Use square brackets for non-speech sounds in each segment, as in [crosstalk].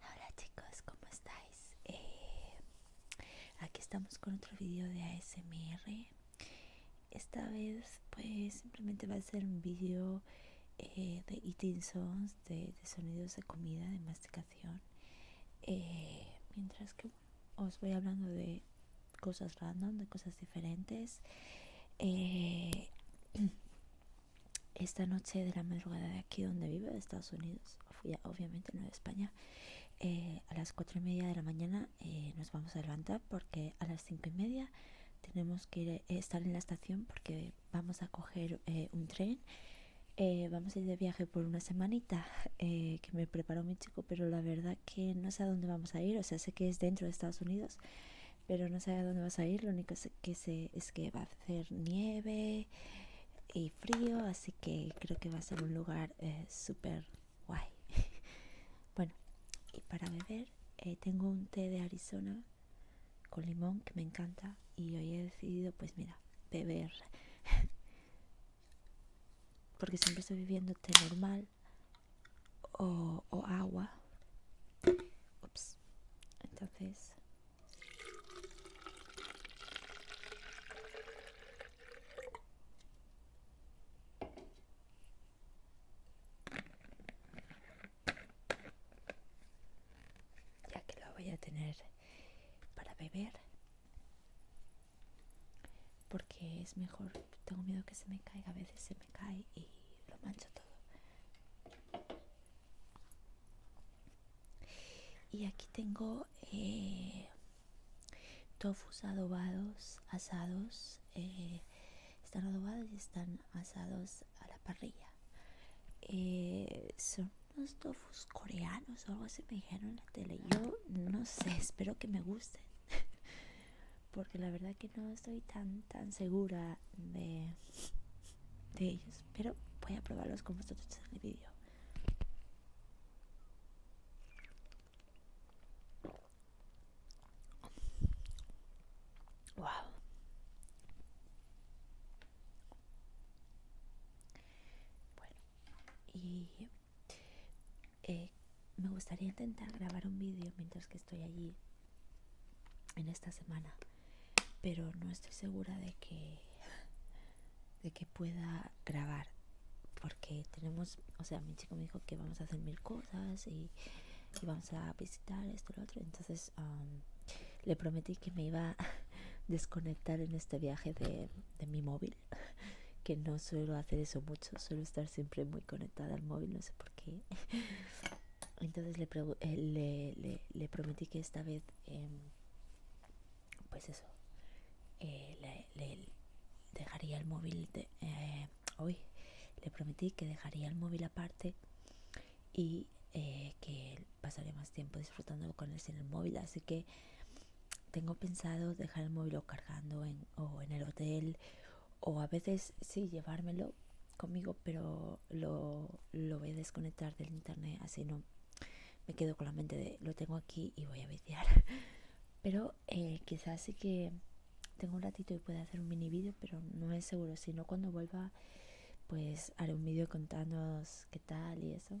Hola chicos, ¿cómo estáis? Eh, aquí estamos con otro vídeo de ASMR. Esta vez pues simplemente va a ser un vídeo eh, de eating sounds, de, sonidos de comida, de masticación. Eh, mientras que os voy hablando de cosas random, de cosas diferentes. Eh, [clears throat] esta noche de la madrugada de aquí donde vive de Estados Unidos, obviamente no de España, eh, a las cuatro y media de la mañana eh, nos vamos a levantar porque a las cinco y media tenemos que estar en la estación porque vamos a coger un tren. vamos a ir de viaje por una semana eh, que me preparó mi chico, pero la verdad que no sé a dónde vamos a ir. O sea, sé que es dentro de Estados Unidos, pero no sé a dónde vas a ir. Lo único que sé es que va a hacer nieve y frío, así que creo que va a ser un lugar eh, súper guay. [laughs] bueno, y para beber eh, tengo un té de Arizona con limón que me encanta y hoy he decidido, pues mira, beber. [laughs] porque siempre estoy viviendo té normal o, agua. Entonces... Ya que lo voy a tener para beber, porque es mejor tengo miedo que se me caiga a veces se me cae y lo mancho todo y aquí tengo eh, tofus adobados asados eh, están adobados y están asados a la parrilla eh, son unos tofus coreanos o algo así me dijeron en la tele yo no sé espero que me gusten [laughs] porque la verdad que no estoy tan tan segura de, de ellos pero voy a probarlos con vosotros en el vídeo wow bueno y eh, me gustaría intentar grabar un vídeo mientras que estoy allí en esta semana, pero no estoy segura de que pueda grabar porque tenemos, o sea, mi chico me dijo que vamos a hacer mil cosas y, y vamos a visitar esto y lo otro, entonces um, le prometí que me iba a [laughs] desconectar en este viaje de mi móvil [laughs] que no suelo hacer eso mucho, suelo estar siempre muy conectada al móvil, no sé por qué. [laughs] Entonces eh, le, prometí que esta vez, em, pues eso, eh, le, dejaría el móvil eh, hoy. Le prometí que dejaría el móvil aparte y que pasaría más tiempo disfrutando con él sin el móvil. Así que tengo pensado dejar el móvil cargando en o en el hotel o a veces sí llevármelo conmigo pero lo, voy a desconectar del internet así no me quedo con la mente de lo tengo aquí y voy a viciar [laughs] pero eh, quizás sí que tengo un ratito y pueda hacer un mini vídeo pero no es seguro si no cuando vuelva pues haré un vídeo contándoos qué tal y eso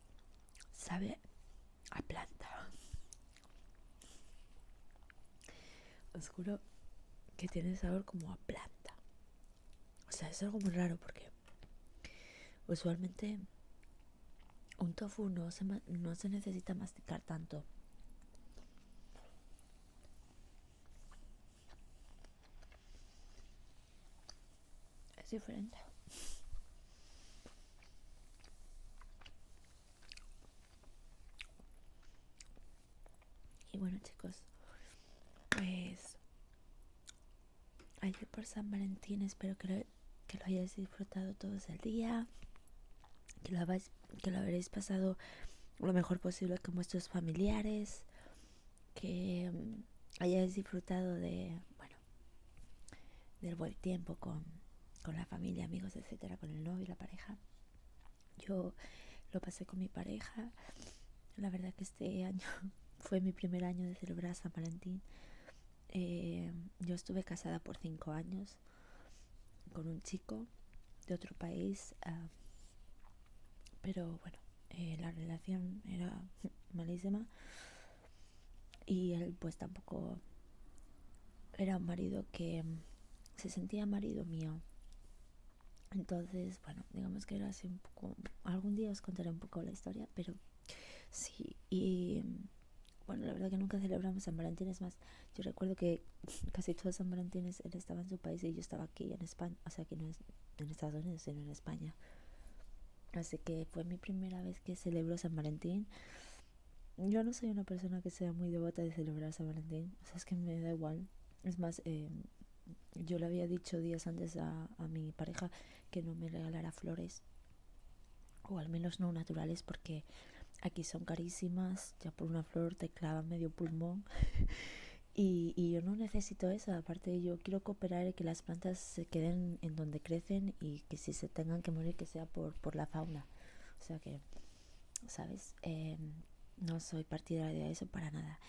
sabe a planta. oscuro que tiene sabor como a planta. O sea, es algo muy raro porque usualmente un tofu no se, no se necesita masticar tanto es diferente y bueno chicos pues ayer por San Valentín espero que lo, hayáis disfrutado todos el día que lo, habéis, que lo habréis pasado lo mejor posible con vuestros familiares que mm, hayáis disfrutado de bueno, del buen tiempo con, la familia, amigos, etcétera, con el novio, la pareja. Yo lo pasé con mi pareja. La verdad que este año [laughs] fue mi primer año de celebrar San Valentín. Eh, yo estuve casada por cinco años con un chico de otro país, ah, pero bueno, eh, la relación era [laughs] malísima. Y él pues tampoco era un marido que mm, se sentía marido mío. Entonces, bueno, digamos que era así un poco... Algún día os contaré un poco la historia, pero sí. Y mm, bueno, la verdad que nunca celebramos San Valentín. Es más, yo recuerdo que [laughs] casi todos San Valentines él estaba en su país y yo estaba aquí en España. O sea, que no es en Estados Unidos, sino en España. Así que fue mi primera vez que celebro San Valentín. Yo no soy una persona que sea muy devota de celebrar San Valentín. O sea, es que me da igual. Es más, em, yo le había dicho días antes a, mi pareja que no me regalara flores. O al menos no naturales porque aquí son carísimas. Ya por una flor te clava medio pulmón. [laughs] Y, yo no necesito eso, aparte yo quiero cooperar y que la plantas se queden en donde crecen y que si se tengan que morir que sea por, por la fauna. O sea que, ¿sabes? Em, no soy partidaria de eso para nada.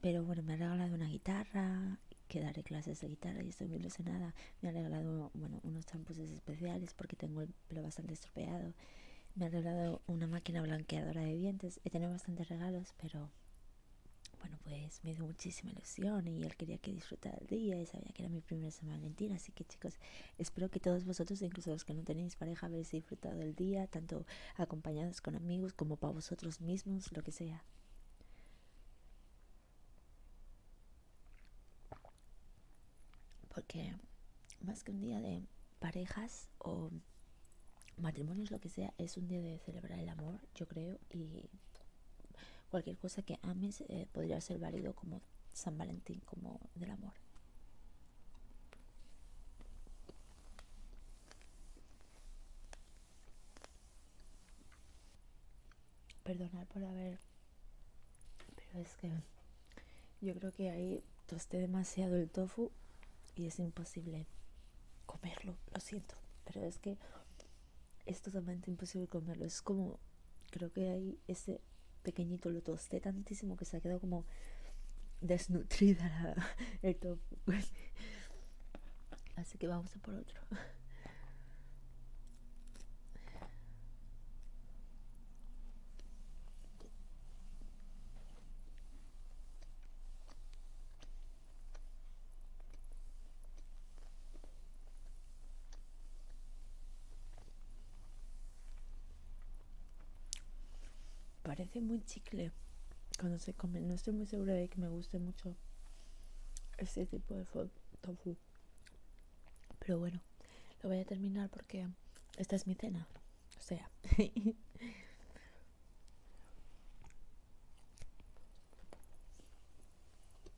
Pero bueno, me ha regalado una guitarra, que daré clases de guitarra y estoy muy nada Me ha regalado, bueno, unos champús especiales porque tengo el pelo bastante estropeado. Me ha regalado una máquina blanqueadora de dientes. He tenido bastantes regalos, pero bueno, pues me dio muchísima ilusión y él quería que disfrutara el día y sabía que era mi primera semana San mentira Así que, chicos, espero que todos vosotros, e incluso los que no tenéis pareja, habéis disfrutado el día, tanto acompañados con amigos como para vosotros mismos, lo que sea. Porque más que un día de parejas o matrimonios, lo que sea, es un día de celebrar el amor, yo creo, y cualquier cosa que ames eh, podría ser válido como San Valentín, como del amor. Perdonar por haber, pero es que yo creo que ahí tosté demasiado el tofu y es imposible comerlo, lo siento, pero es que es totalmente imposible comerlo. Es como, creo que hay ese pequeñito lo tosté tantísimo que se ha quedado como desnutrida [laughs] el tofu. Así que vamos a por otro. Parece muy chicle cuando se come. No estoy muy segura de que me guste mucho este tipo de tofu. Pero bueno, lo voy a terminar porque esta es mi cena. O sea. [laughs]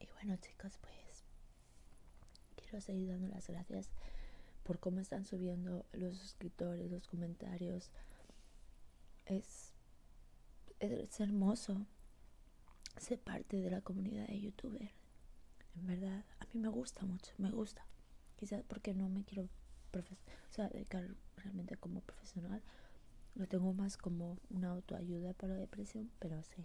Y bueno chicos, pues quiero seguir dando las gracias por cómo están subiendo los suscriptores, los comentarios. Es, es hermoso ser parte de la comunidad de youtubers en verdad, a mí me gusta mucho, me gusta. Quizás porque no me quiero dedicar realmente como profesional. Lo tengo más como una autoayuda para la depresión, pero sí.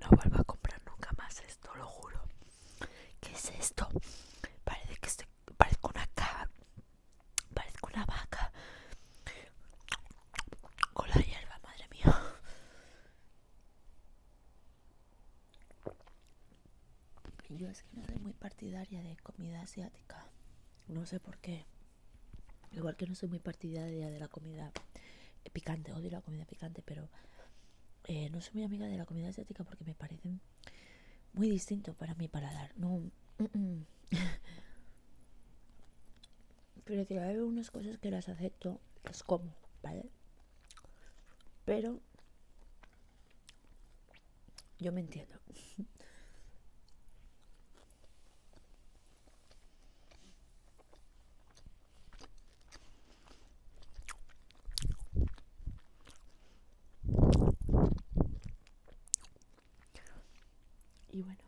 No vuelvo a comprar nunca más esto, lo juro. ¿Qué es esto? Parece que estoy, parezco una vaca. parezco una vaca con la hierba, madre mía. Yo es que no soy muy partidaria de comida asiática. No sé por qué. Igual que no soy muy partidaria de la comida picante, odio la comida picante, pero eh, no soy muy amiga de la comida asiática porque me parecen muy distinto para mi paladar. No. [laughs] pero si hay unas cosas que las acepto, las como, ¿vale? Pero yo me entiendo. Y bueno,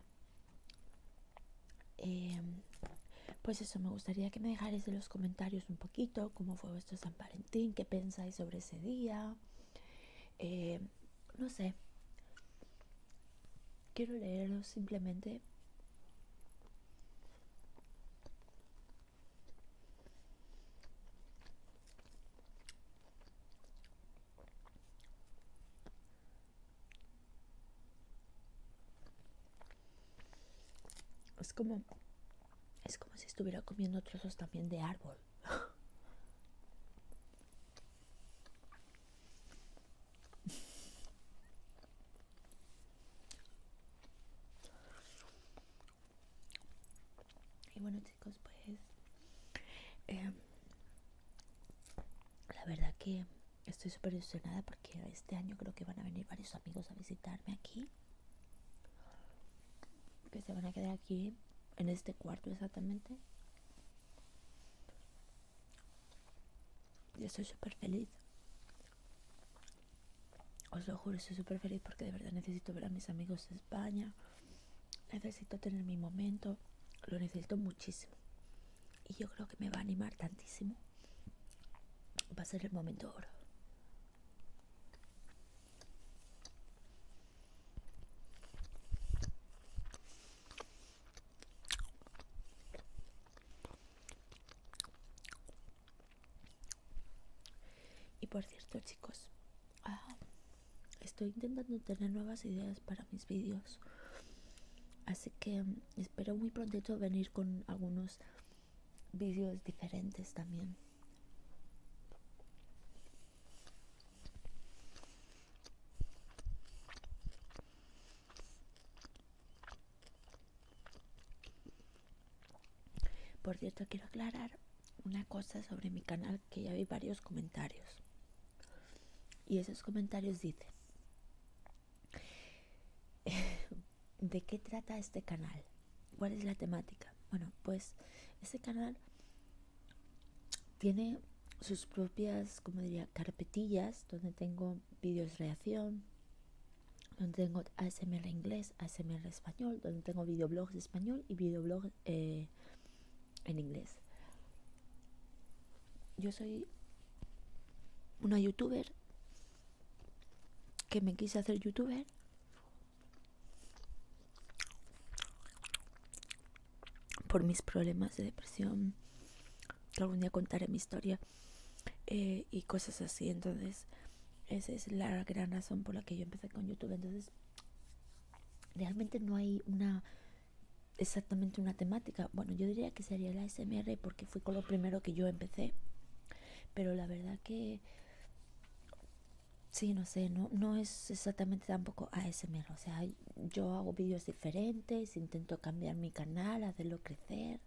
em, pues eso, me gustaría que me dejáis en los comentarios un poquito cómo fue vuestro San Valentín, qué pensáis sobre ese día. Em, no sé, quiero leerlo simplemente es como es como si estuviera comiendo trozos también de árbol [laughs] Y bueno chicos, pues em, la verdad que estoy súper emocionada porque este año creo que van a venir varios amigos a visitarme aquí. Que se van a quedar aquí en este cuarto exactamente. Yo estoy súper feliz. Os lo juro, estoy súper feliz porque de verdad necesito ver a mis amigos de España. Necesito tener mi momento. Lo necesito muchísimo. Y yo creo que me va a animar tantísimo. Va a ser el momento oro. Y por cierto, chicos, estoy intentando tener nuevas ideas para mis vídeos. Así que mm, espero muy pronto venir con algunos vídeos diferentes también. Por cierto, quiero aclarar una cosa sobre mi canal que ya vi varios comentarios. Y esos comentarios dicen, [laughs] ¿de qué trata este canal? ¿Cuál es la temática? Bueno, pues este canal tiene sus propias, como diría, carpetillas donde tengo vídeos de reacción, donde tengo ASMR inglés, ASMR español, donde tengo videoblogs español y videoblogs eh, en inglés. Yo soy una youtuber que me quise hacer youtuber por mis problemas de depresión que algún día contaré mi historia eh, y cosas así. Entonces, esa es la gran razón por la que yo empecé con YouTube. Entonces, realmente no hay una exactamente una temática. Bueno, yo diría que sería la asmr porque fui con lo primero que yo empecé. Pero la verdad que si no sé, no, no es exactamente tampoco ASMR. O sea, yo hago vídeos diferentes, intento cambiar mi canal, hacerlo crecer.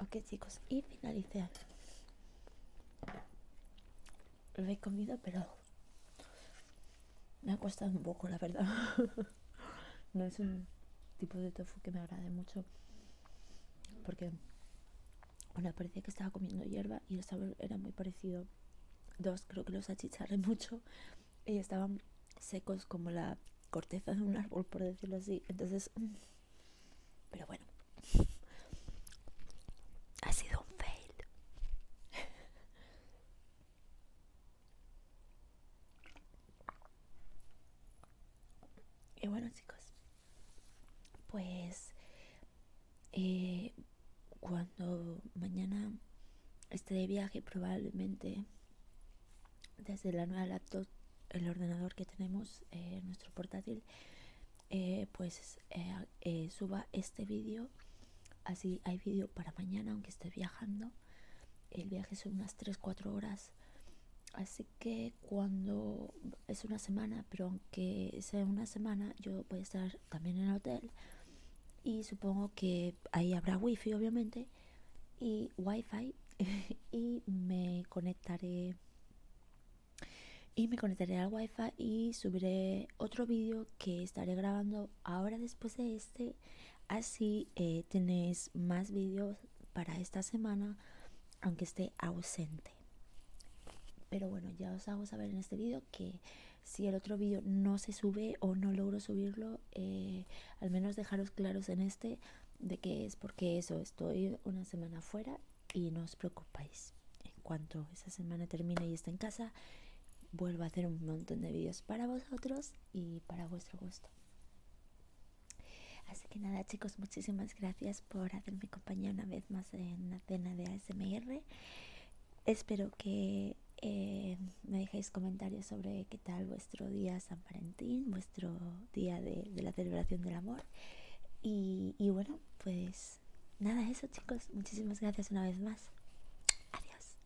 Ok chicos, y finalice Lo he comido, pero me ha costado un poco, la verdad. [laughs] no es un tipo de tofu que me agrade mucho. Porque bueno, parecía que estaba comiendo hierba y el sabor era muy parecido. Dos, creo que los achicharré [laughs] mucho y estaban secos como la corteza de un árbol, por decirlo así. Entonces, mm, pero bueno, ha sido un fail. [laughs] Y bueno, chicos pues eh, cuando mañana esté de viaje probablemente desde la nueva laptop el ordenador que tenemos eh, nuestro portátil eh, pues suba este vídeo así hay vídeo para mañana aunque esté viajando el viaje son unas 3-4 horas así que cuando es una semana, pero aunque sea una semana, yo voy a estar también en el hotel y supongo que ahí habrá wifi, obviamente, y wifi [laughs] y me conectaré y me conectaré al wifi y subiré otro vídeo que estaré grabando ahora después de este así eh, tenéis más vídeos para esta semana aunque esté ausente pero bueno ya os hago saber en este vídeo que si el otro vídeo no se sube o no logro subirlo eh, al menos dejaros claros en este de que es porque eso estoy una semana fuera y no os preocupéis en cuanto esa semana termine y esté en casa vuelvo a hacer un montón de vídeos para vosotros y para vuestro gusto así que nada chicos muchísimas gracias por hacerme compañía una vez más en la cena de ASMR. Espero que eh, me dejéis comentarios sobre qué tal vuestro día San Valentín, vuestro día de, la celebración del amor. Y, y bueno, pues nada, eso chicos. Muchísimas gracias una vez más. Adiós.